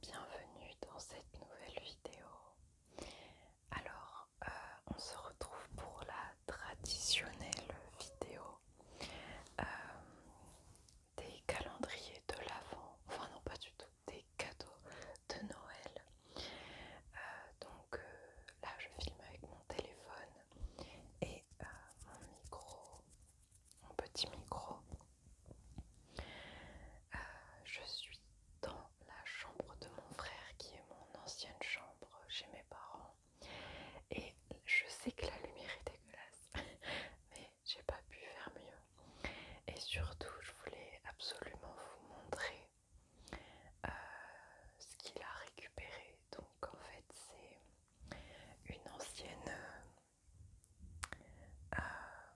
Bienvenue dans cette nouvelle vidéo. Alors, euh, on se retrouve pour la traditionnelle vidéo euh, des calendriers de l'Avent, enfin non pas du tout, des cadeaux de Noël. Euh, donc là, je filme avec mon téléphone et euh, mon micro, mon petit micro. Euh, je suis dans la chambre de mon frère qui est mon ancienne chambre chez mes parents et je sais que la lumière est dégueulasse mais j'ai pas pu faire mieux et surtout je voulais absolument vous montrer euh, ce qu'il a récupéré donc en fait c'est une ancienne. Euh, ah,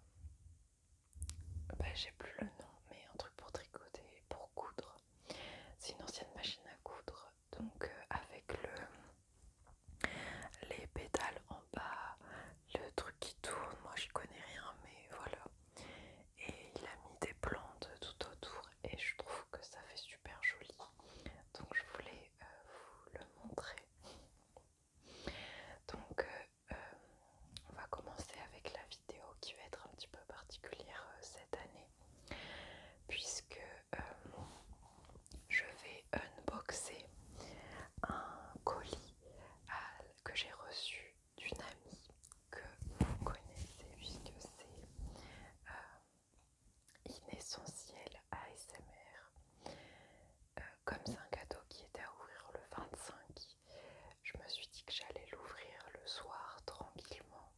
bah, j'ai plus le nom, mais un truc pour tricoter, pour coudre. C'est une ancienne machine à coudre, donc euh, avec le les pétales en bas, le truc qui tourne. Moi, j'y connais rien, mais voilà. Et il a mis des plantes tout autour et je trouve que ça fait super joli donc je voulais euh, vous le montrer donc euh, euh, on va commencer avec la vidéo qui va être un petit peu particulière cette année puisque je vais unboxer un colis que j'ai reçu d'une amie que vous connaissez puisque c'est inessentiel ASMR. Euh, comme c'est un cadeau qui était à ouvrir le 25, je me suis dit que j'allais l'ouvrir le soir tranquillement.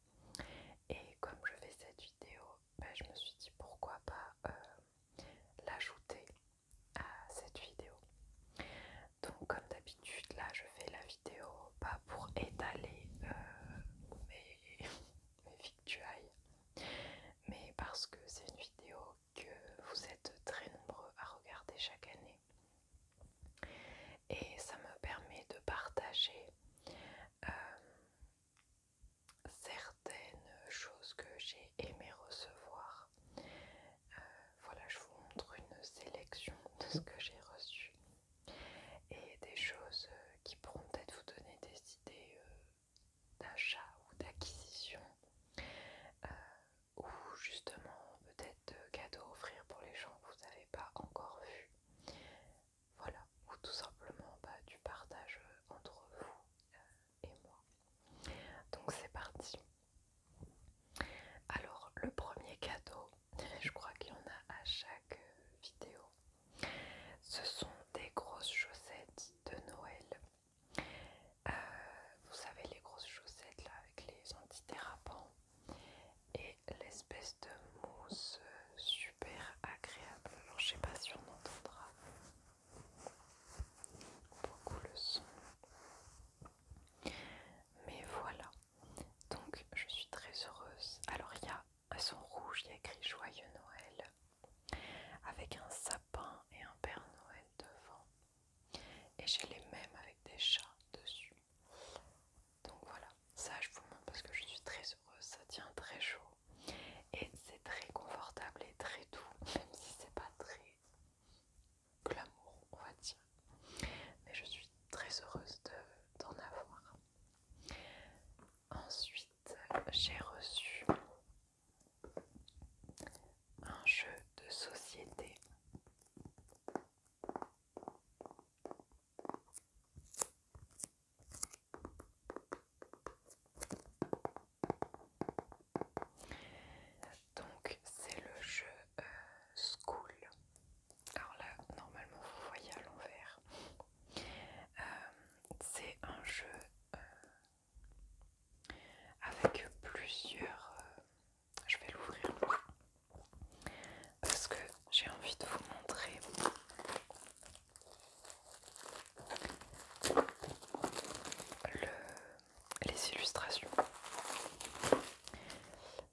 Et comme je fais cette vidéo, ben, je me suis dit pourquoi pas euh, l'ajouter à cette vidéo. Donc comme d'habitude, là je fais la vidéo pas pour étaler euh, victuailles, mais parce que c'est une vidéo que vous êtes très nombreux à regarder chaque année. Et ça me permet de partager euh, certaines choses que j'ai aimé recevoir. Euh, voilà, je vous montre une sélection de ce que j'ai reçu et des choses euh, qui pourront peut-être vous donner des idées euh, d'achat ou d'acquisition euh, ou justement peut-être de cadeaux à offrir pour les gens que vous n'avez pas encore vus. Voilà, ou tout simplement bah, du partage entre vous et moi. Donc c'est parti. Alors le premier cadeau, je crois qu'il y en a à chaque vidéo, ce sont des grosses chaussettes de Noël. Euh, vous savez, les grosses chaussettes là avec les antidérapants et l'espèce de mousse super agréable. Alors, je sais pas si on entendra beaucoup le son, mais voilà. Donc, je suis très heureuse. Alors, il y a elles sont rouges, il y a écrit Joyeux Noël, avec un sapin et un Père Noël devant. Et j'ai les mêmes avec des chats dessus. Donc voilà, ça je vous montre parce que je suis très heureuse, ça tient très chaud. Et c'est très confortable et très doux, même si c'est pas très glamour, on va dire. Mais je suis très heureuse d'en avoir. Ensuite, j'ai reçu un jeu de société. Donc c'est le jeu euh, School alors là normalement vous voyez à l'envers euh, c'est un jeu euh, avec plusieurs euh, je vais l'ouvrir parce que j'ai envie de vous montrer les illustrations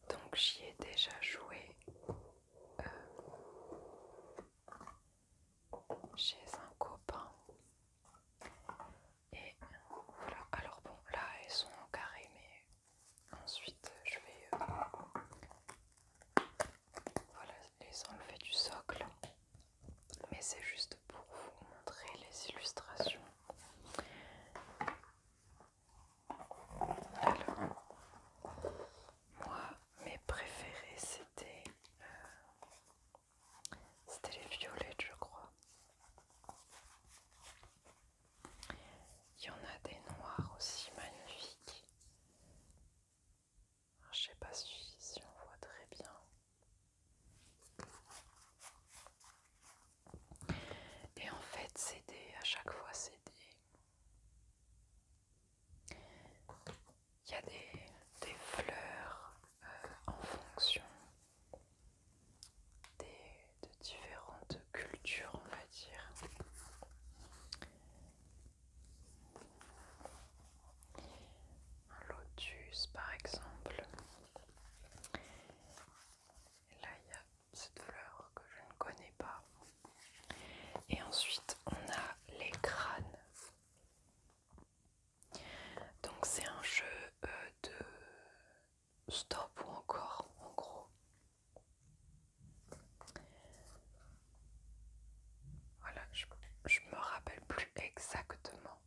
donc j'y ai déjà joué j'ai euh, chez un copain. Et voilà, alors bon, là elles sont en carré, mais ensuite je vais euh, les enlever du socle. Mais c'est juste pour vous montrer les illustrations. Alors, moi, mes préférés, c'était euh, c'était les violettes, je crois. Il y en a des noirs aussi magnifiques. Je sais pas si on voit très bien. Et en fait, c'est des, à chaque fois, c'est des, il y a des, fleurs euh, en fonction des, de différentes cultures, on va dire. Un lotus, par exemple. là, cette fleur que je ne connais pas. Et ensuite, on a les crânes. Donc c'est un jeu euh, de stop ou encore en gros. Voilà, je, me rappelle plus exactement.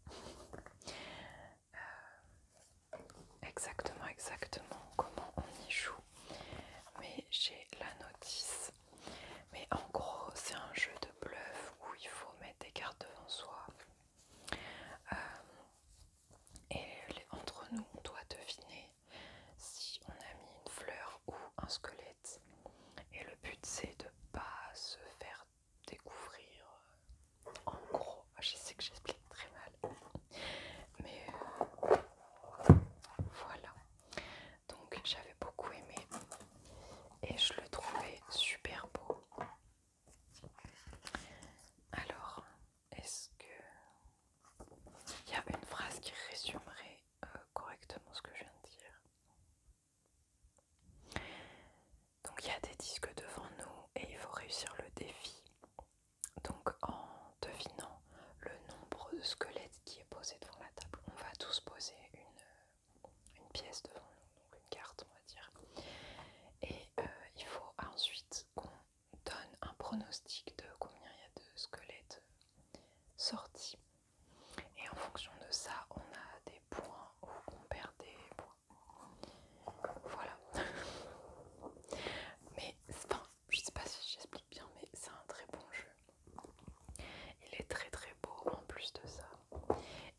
Euh, exactement, exactement comment on y joue. Mais j'ai la notice. Mais en gros, c'est un jeu de bluff où il faut mettre des cartes devant soi. Euh, et entre nous, on doit deviner si on a mis une fleur ou un squelette. Et le but, c'est de pas se faire découvrir. En gros, je sais que j'explique très mal. Mais euh, voilà. Donc j'avais beaucoup aimé et je le trouvais super beau. Alors, est-ce que... Il y a une phrase qui résumerait euh, correctement ce que je viens de dire. Donc il y a des disques devant nous et il faut réussir le défi donc en devinant le nombre de squelettes qui est posé devant la table, on va tous poser une, euh, une pièce devant nous, donc une carte on va dire. Et euh, il faut ensuite qu'on donne un pronostic de combien il y a de squelettes euh, sortis. Et en fonction de ça, on a des points ou on perd des points. Voilà. Mais je sais pas si j'explique bien, mais c'est un très bon jeu. Il est très très beau en plus de ça.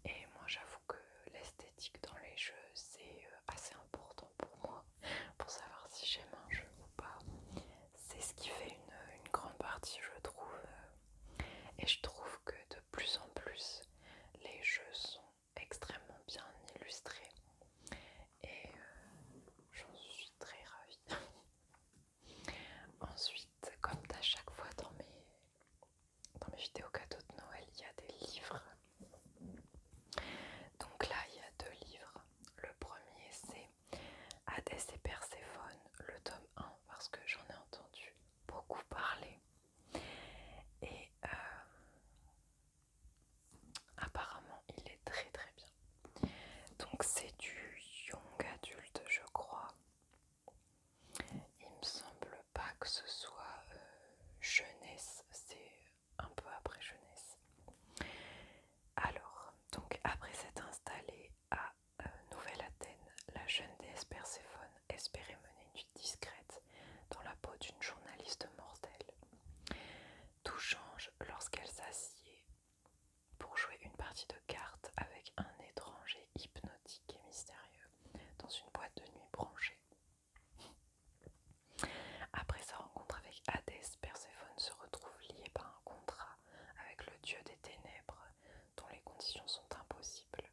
Et moi j'avoue que l'esthétique dans les jeux c'est euh, assez important pour moi, pour savoir si j'aime un jeu ou pas. C'est ce qui fait une, une grande partie je trouve. Et je trouve que de plus en plus les jeux sont extrêmement bien illustrés et euh, j'en suis très ravie. Ensuite, comme à chaque fois dans mes, dans mes vidéos cadeaux de Noël, il y a des livres. Donc là, il y a deux livres. Le premier, c'est Hadès et Perséphone, le tome 1, parce que j'en ai entendu beaucoup parler. Et euh, Apparemment, il est très très bien. Donc c'est du young adulte, je crois. Il me semble pas que ce soit euh, jeunesse, c'est un peu après jeunesse. Alors, donc après s'être installée à euh, Nouvelle-Athènes, la jeune déesse Perséphone espérait mener une vie discrète dans la peau d'une journaliste mortelle. Tout change lorsqu'elle s'assied pour jouer une partie de cartes avec un étranger hypnotique et mystérieux dans une boîte de nuit branchée. Après sa rencontre avec Hadès, Perséphone se retrouve liée par un contrat avec le dieu des ténèbres dont les conditions sont impossibles.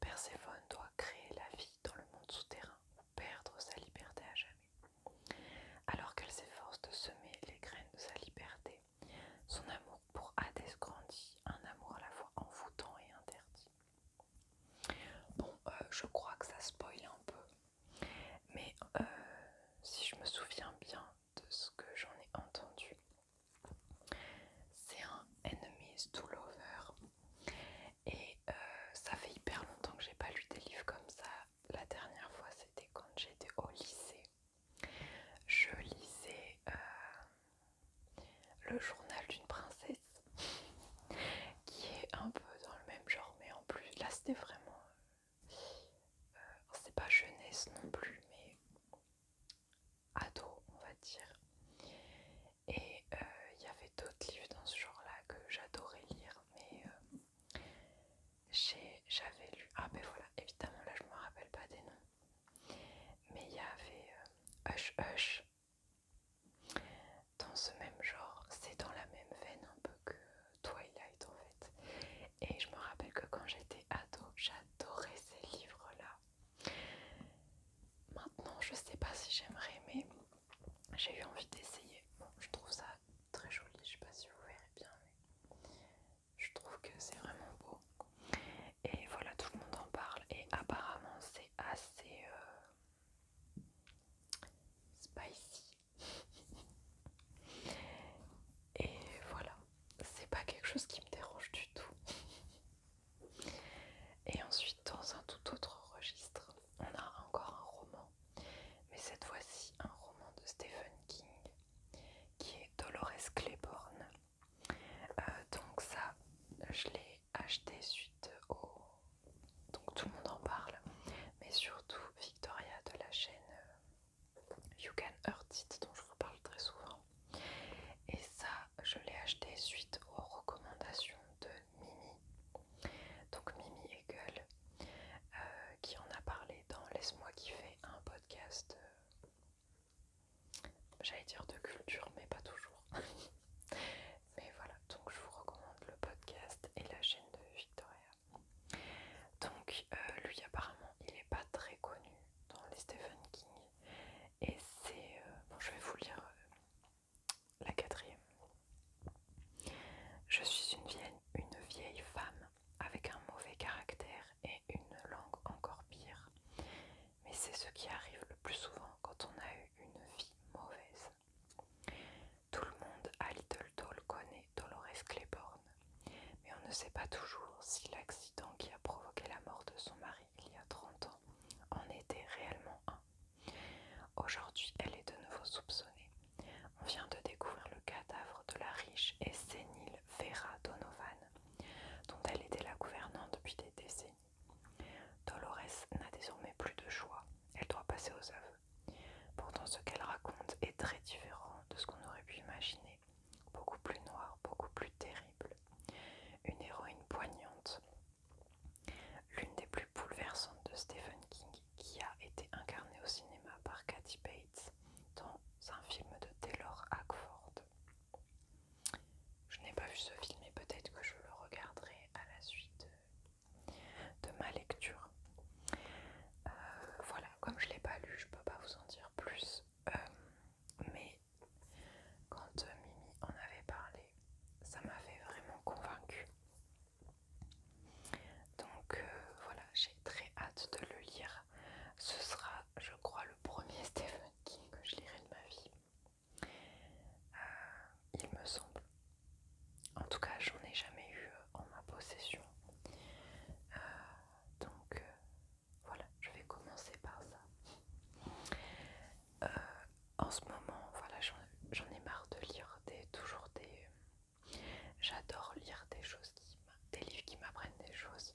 Perséphone doit créer la vie dans le monde souterrain ou perdre sa liberté à jamais. Alors qu'elle s'efforce de semer les graines de sa liberté, son amour pour Hades grandit, un amour à la fois envoûtant et interdit. Bon, euh, je crois que ça spoil un peu, mais euh, si je me souviens bien de ce que j'en ai entendu, c'est un Enemies to Lover, et euh, ça fait hyper longtemps que j'ai pas lu des livres comme ça, la dernière fois, c'était quand j'étais au lycée. Je lisais euh, le journal d'une princesse, qui est un peu dans le même genre, mais en plus, là c'était vraiment... Euh, c'est pas jeunesse non plus, mais ado, on va dire. Et euh, il y avait d'autres livres dans ce genre-là que j'adorais lire, mais... J'avais lu. Ah, ben voilà, évidemment, là je me rappelle pas des noms. Mais il y avait euh, Hush Hush. Dans ce même genre, c'est dans la même veine un peu que Twilight en fait. Et je me rappelle que quand j'étais ado, j'adorais ces livres-là. Maintenant, je sais pas si j'aimerais, mais j'ai eu envie d'essayer. Bon, je trouve ça très joli, je sais pas si vous verrez bien, mais je trouve que c'est vraiment beau. Et voilà, tout le monde en parle. Et apparemment, c'est assez euh, spicy. Et voilà, c'est pas quelque chose qui me dérange du tout. Et ensuite, dans un tout autre registre, on a encore un roman mais cette fois-ci un roman de Stephen King qui est Dolores Claiborne. Euh, donc ça, je l'ai acheté suite au... Donc tout le monde en parle, mais surtout Victoria de la chaîne euh, You Can Hurt It dont je vous parle très souvent. Et ça, je l'ai acheté suite aux recommandations de Mimi. Donc Mimi euh, qui en a parlé dans Laisse-moi kiffer un podcast, euh, j'allais dire de culture, mais pas toujours. mais voilà, donc je vous recommande le podcast et la chaîne de Victoria. Donc euh, lui apparemment il n'est pas très connu dans les Stephen King et c'est... bon je vais vous lire la quatrième. Je suis une vieille, femme avec un mauvais caractère et une langue encore pire. Mais c'est ce qui arrive le plus souvent quand on a eu une vie mauvaise. Tout le monde à Little Doll connaît Dolores Claiborne, mais on ne sait pas toujours si l'accident qui a provoqué la mort de son mari il y a 30 ans en était réellement un Aujourd'hui, elle est de nouveau soupçonnée. On vient de découvrir le cadavre de la riche et sénile Vera Donovan, dont elle était la gouvernante depuis des décennies. Dolores n'a désormais plus de choix, elle doit passer aux aveux. Pourtant, ce qu'elle raconte est très différent de ce qu'on aurait pu imaginer, beaucoup plus noir, beaucoup plus terrible. Une héroïne poignante, L'une des plus bouleversantes de Stephen King, qui a été incarnée au cinéma par Kathy Bates dans un film de Taylor Hackford. Je n'ai pas vu ce film et peut-être que je le regarderai à la suite de ma lecture. Euh, voilà, comme je ne l'ai pas lu, je ne peux pas vous en dire plus. Euh, mais quand euh, Mimi en avait parlé, ça m'avait vraiment convaincue. Donc euh, voilà, j'ai très hâte de le lire. Ce sera, je crois, le premier Stephen King que je lirai de ma vie. Euh, il me semble. En tout cas, j'en ai jamais eu euh, en ma possession. donc voilà, je vais commencer par ça en ce moment, voilà, j'en ai marre de lire des, toujours des. J'adore lire des choses, qui, des livres qui m'apprennent des choses,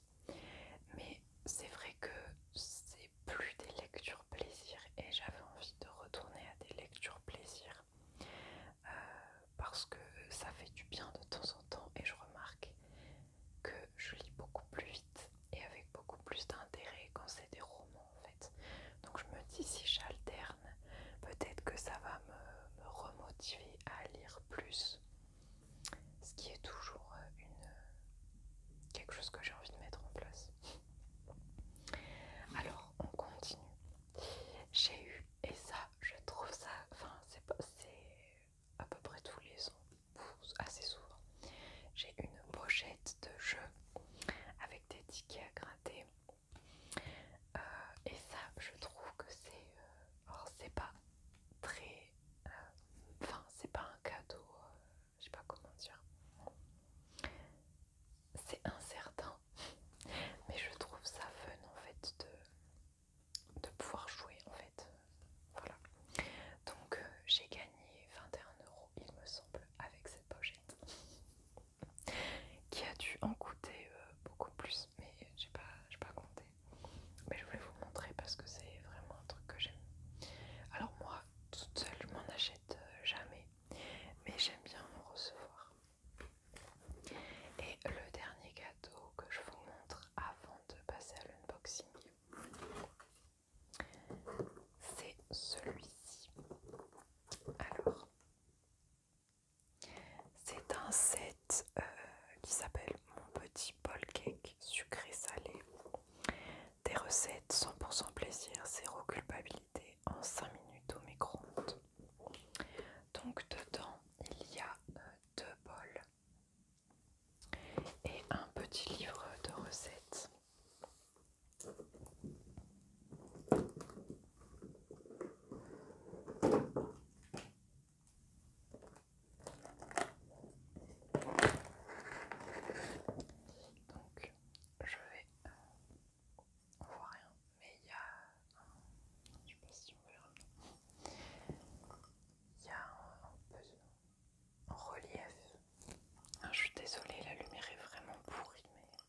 mais c'est vrai que c'est plus des lectures plaisir et j'avais envie de retourner à des lectures plaisir euh, parce que ça fait du bien de temps en temps et je remarque que je lis beaucoup plus vite et avec beaucoup plus d'intérêt quand c'est des romans donc je me dis si j'alterne, peut-être que ça va me, remotiver à lire plus. Ce qui est toujours euh, quelque chose que j'ai envie de mettre en place. Alors on continue. J'ai eu, et ça je trouve ça, enfin c'est à peu près tous les ans, assez souvent, j'ai une pochette de jeu avec des tickets à gratter euh, et ça, je trouve que c'est. Euh, oh, c'est pas très. Euh, enfin, c'est pas un cadeau, je sais pas comment dire. C'est incertain, mais je trouve ça fun en fait de, de pouvoir jouer en fait. Voilà. Donc, j'ai gagné 21€ il me semble, avec cette pochette. qui a dû en coûter euh, beaucoup plus, mais j'ai pas, pas compté. Mais je voulais vous montrer parce que c'est vraiment un truc que j'aime. Alors moi, toute seule, je m'en achète euh, jamais, mais j'aime bien en recevoir. Et le dernier cadeau que je vous montre avant de passer à l'unboxing, c'est celui-ci. Alors, c'est un set euh, qui s'appelle Mon petit bol cake sucré salé. Des recettes 100% plaisir, zéro culpabilité en 5 minutes au micro-ondes. Donc dedans, il y a euh, deux bols et un petit livre de recettes. Donc je vais... Euh, voir rien, mais il y a... Un, je sais pas si on Il y a un, peu de relief. Ah, je suis désolée, la lumière est vraiment pourrie, mais...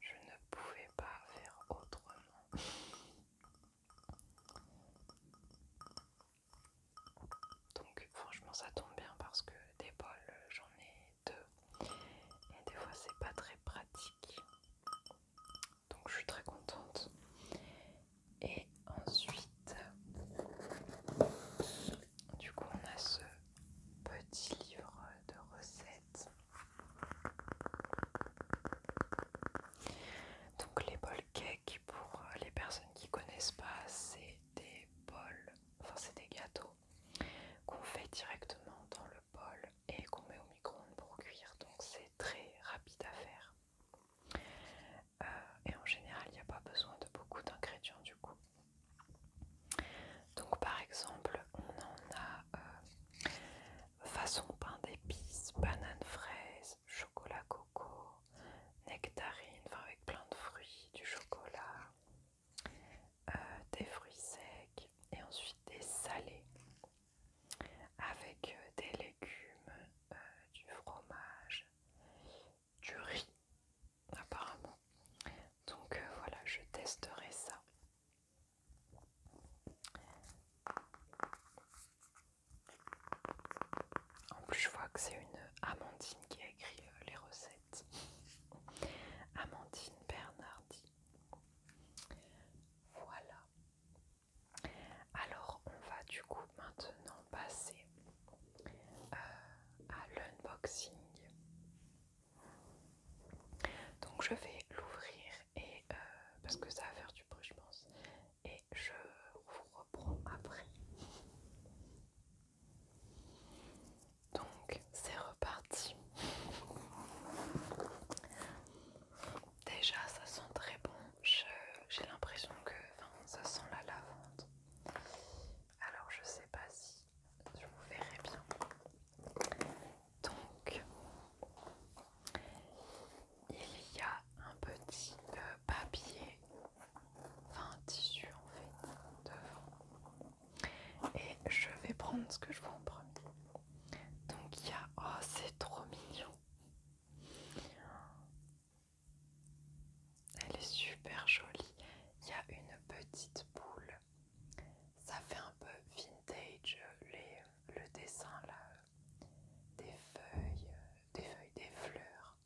Je ne pouvais pas faire autrement. Donc franchement ça tombe bien parce que des bols j'en ai deux et des fois c'est pas très pratique. Donc je suis très contente. Et ensuite du coup, on a ce petit livre de recettes. Donc les bols cakes, pour les personnes qui connaissent pas, c'est des bols, enfin c'est des gâteaux qu'on fait directement dans le bol et qu'on met au micro-ondes pour cuire. Donc c'est très rapide à faire. Euh, et en général, il n'y a pas besoin de beaucoup d'ingrédients du coup. Donc par exemple, on en a euh, façon pain d'épices, banane fraise, chocolat coco, nectarine, enfin avec plein de fruits, du chocolat, euh, des fruits secs et ensuite des salés avec des légumes, du fromage, du riz, apparemment. Donc euh, voilà, je testerai ça. En plus, je vois que c'est une Amandine qui a écrit euh, les recettes. Amandine Bernardi. Voilà. Alors, on va du coup maintenant passer euh, à l'unboxing. Donc je vais l'ouvrir et euh, parce que ça va faire du bruit je pense et je vous reprends après. Donc c'est reparti. Déjà ça sent très bon. J'ai l'impression que ça sent la lavande. Alors je sais pas si je vous verrai bien. Donc il y a un petit euh, papier, enfin un tissu en fait, devant. Et je vais prendre ce que je vois en premier. Donc il y a... Oh c'est trop mignon elle est super jolie. Il y a une petite boule. Ça fait un peu vintage le dessin là, des feuilles, des feuilles, des fleurs,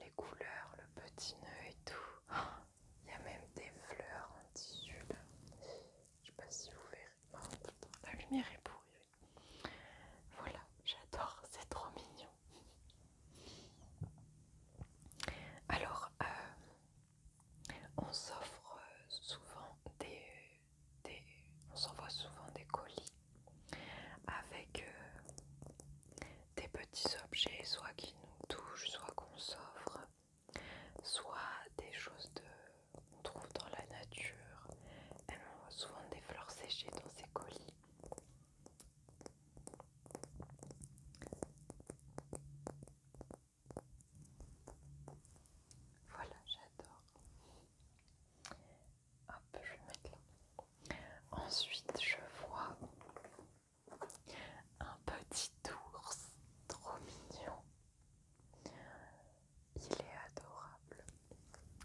les couleurs, le petit nœud et tout. il y a même des fleurs en tissu là. Je sais pas si vous verrez. Oh, la lumière est pourrie. Voilà, j'adore, c'est trop mignon. Alors, euh, on s'offre euh, souvent des, on s'envoie souvent des colis avec euh, des petits objets, soit qui nous touchent, soit qu'on s'offre, soit des choses qu'on trouve dans la nature. On voit souvent des fleurs séchées dans ces colis. Voilà, j'adore. Hop, je vais mettre là. Ensuite, je vois un petit ours trop mignon. Il est adorable.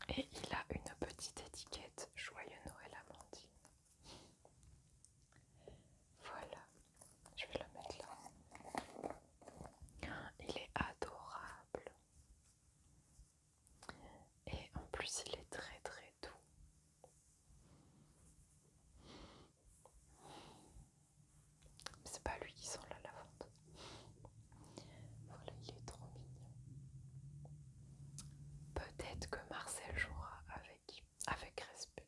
Et il a une petite étiquette Joyeux Noël Amandine. Voilà, je vais le mettre là. Il est adorable. Et en plus, il est très très doux. C'est pas lui qui sent la lavande. Voilà, il est trop mignon. Peut-être que Marcel jouera avec, avec respect.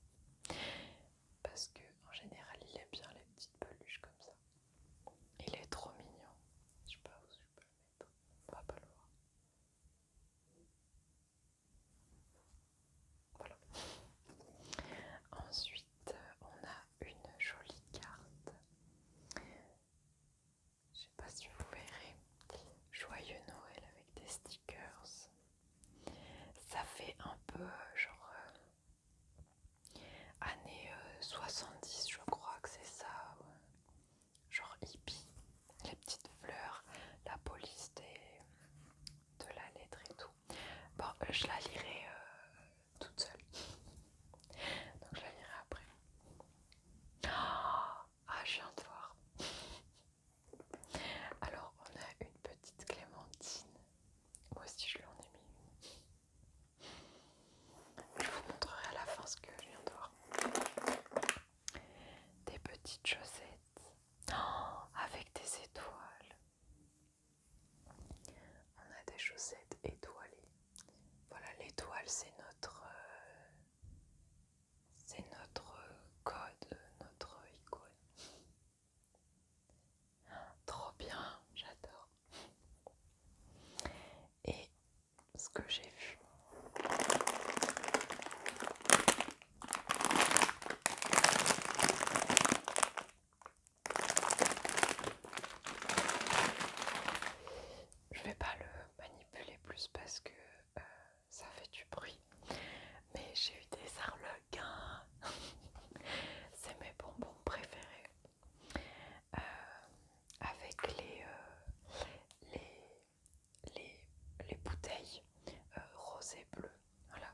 Parce que en général, il aime bien les petites peluches comme ça. Il est trop mignon. Je sais pas où je peux le mettre. On va pas le voir. Voilà. Ensuite, on a une jolie carte je sais pas si vous verrez. Joyeux Noël avec des stickers. Ça fait un peu euh, genre euh, année 70, euh, je crois que c'est ça. Genre hippie. Les petites fleurs, la police de la lettre et tout. Bon, je la lirai toute seule. Donc je la lirai après. Ah, je viens de voir. Alors, on a une petite clémentine. Moi aussi, je l'en ai mis Je vous montrerai à la fin ce que je viens de voir. Des petites chaussettes oh, avec des étoiles. On a des chaussettes étoilées. Voilà, l'étoile, c'est notre, euh, c'est notre code, notre icône. Trop bien, j'adore. Et ce que j'ai vu. Je vais pas le manipuler plus parce que euh, ça fait du bruit. Mais j'ai eu des arlequins. C'est mes bonbons préférés. Euh, avec les, euh, bouteilles roses et bleues. Voilà.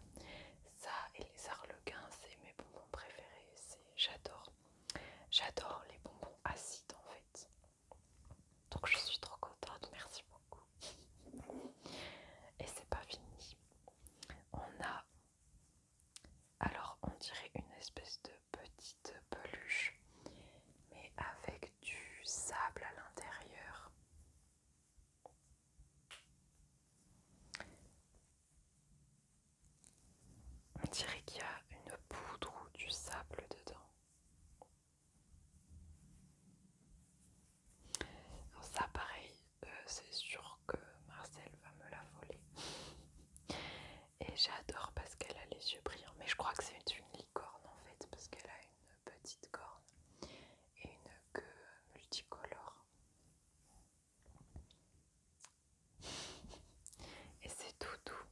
Ça et les arlequins, c'est mes bonbons préférés. J'adore. J'adore les bonbons acides en fait. Donc je suis trop contente, merci beaucoup. Et c'est pas fini. On a alors on dirait une espèce de petite peluche, mais avec du sable à l'intérieur. On dirait qu'il y a une poudre ou du sable dedans. ça pareil, euh, c'est sûr que Marcel va me la voler. Et j'adore parce qu'elle a les yeux brillants. Mais je crois que c'est une licorne en fait parce qu'elle a une petite corne et une queue multicolore. Et c'est tout doux.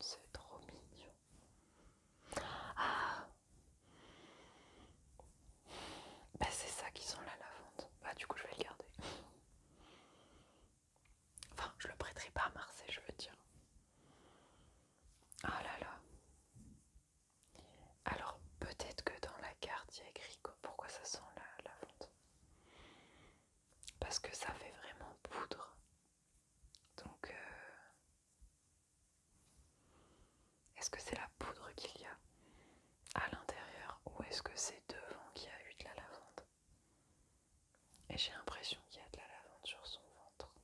C'est trop mignon. Ah Ben c'est ça qui là la lavande. Bah du coup je vais le garder. Enfin, je le prêterai pas à Marseille, je veux dire. Ah là là. Alors peut-être que dans la carte il y a écrit pourquoi ça sent la, lavande. Parce que ça fait vraiment poudre. Donc euh, est-ce que c'est la poudre qu'il y a à l'intérieur ou est-ce que c'est devant qu'il y a eu de la lavande Et j'ai l'impression qu'il y a de la lavande sur son ventre.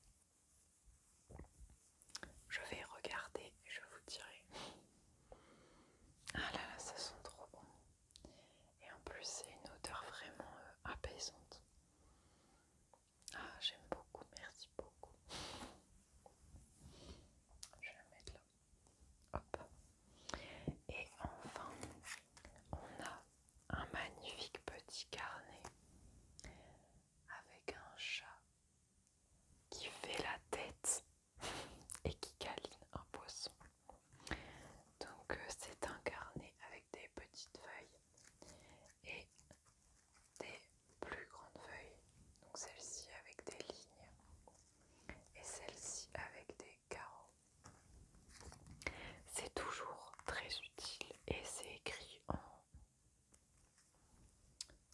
Je vais regarder et je vous dirai. Ah là là, ça sent trop bon. Et en plus, c'est une odeur vraiment euh, apaisante. Ah, j'aime beaucoup, merci beaucoup. Je vais la mettre là. Hop. Et enfin, on a un magnifique petit carnet avec un chat qui fait la tête et qui câline un poisson. Donc euh, c'est un carnet avec des petites feuilles et des plus grandes feuilles. Donc celle-ci avec des lignes et celle-ci avec des carreaux. C'est toujours très utile et c'est écrit en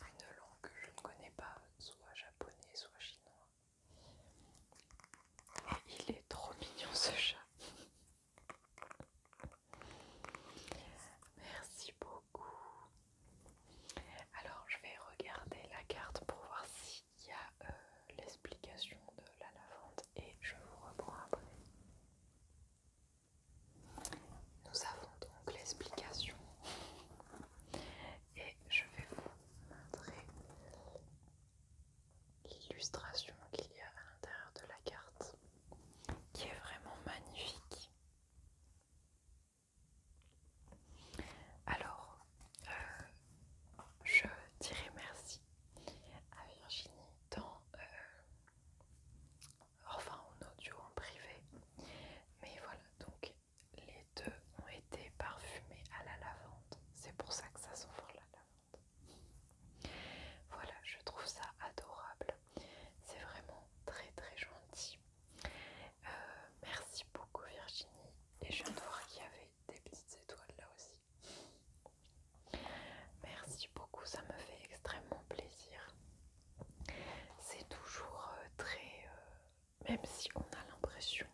une langue que je ne connais pas, soit japonais, soit chinois. il est trop mignon ce chat. Merci beaucoup. Alors je vais regarder la carte pour voir s'il y a euh, l'explication de la lavande et je vous reprends après. Nous avons donc l'explication et je vais vous montrer l'illustration qu'il y a à l'intérieur de la carte qui est vraiment magnifique. Alors, euh, je dirais merci à Virginie dans, euh, enfin en audio, en privé. Mais voilà, donc les deux ont été parfumés à la lavande. C'est pour ça que ça sent fort la lavande. Voilà, je trouve ça adorable. C'est vraiment très très gentil. Euh, merci beaucoup Virginie. Et je viens de voir qu'il y avait des petites étoiles là aussi. Merci beaucoup, ça me fait extrêmement plaisir. C'est toujours euh, très... Euh, même si on a l'impression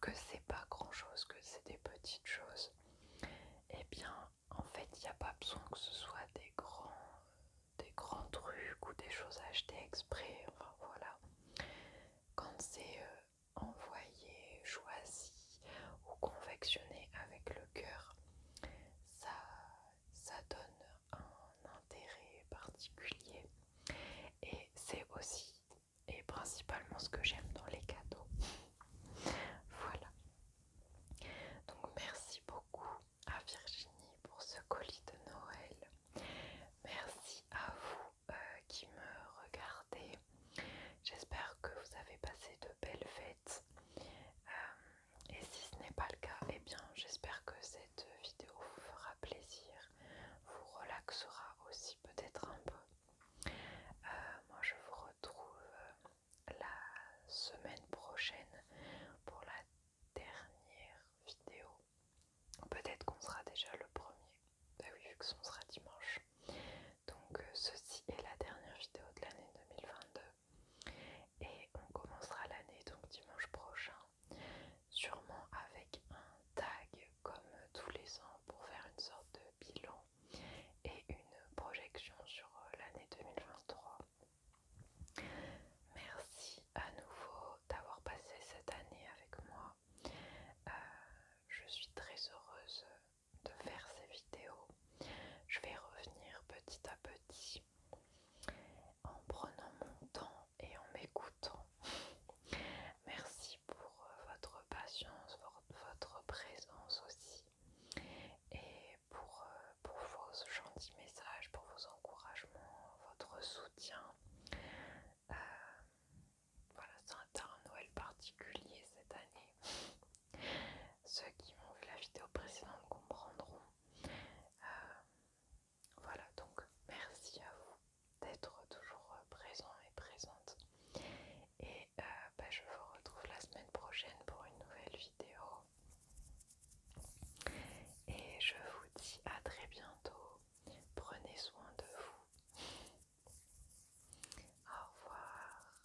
que c'est pas grand chose, que c'est des petites choses, eh bien en fait il n'y a pas besoin que ce soit des grands, des grands trucs ou des choses achetées exprès, enfin voilà. Quand c'est euh, envoyé, choisi ou confectionné avec le cœur, ça, ça donne un intérêt particulier et c'est aussi et principalement ce que j'aime dans les cadeaux. voilà. Donc merci beaucoup à Virginie pour ce colis de Noël. Merci à vous euh, qui me regardez. J'espère que vous avez passé de belles fêtes. Euh, et si ce n'est pas le cas, eh bien j'espère que cette vidéo vous fera plaisir, vous relaxera aussi peut-être un peu. Euh, moi je vous retrouve la semaine prochaine pour la dernière vidéo. Peut-être qu'on sera déjà le premier. Bah oui, vu que ce sera dimanche. Donc euh, ceci est la dernière vidéo de l'année 2022. Et on commencera l'année donc dimanche prochain sûrement avec un tag comme tous les ans pour faire une sorte de bilan et une projection sur euh, l'année 2023. Merci à nouveau d'avoir passé cette année avec moi. Euh, je suis très heureuse de faire ces vidéos. Je vais revenir petit à petit en prenant mon temps et en m'écoutant. Merci pour euh, votre patience, votre présence aussi et pour, euh, pour vos gentils messages, pour vos encouragements, votre soutien. Euh, voilà, c'est un Noël particulier cette année. Ceux qui ont vu la vidéo précédente comprendront. Voilà, donc merci à vous d'être toujours euh, présent et présente. Et euh, bah, je vous retrouve la semaine prochaine pour une nouvelle vidéo. Et je vous dis à très bientôt. Prenez soin de vous. Au revoir.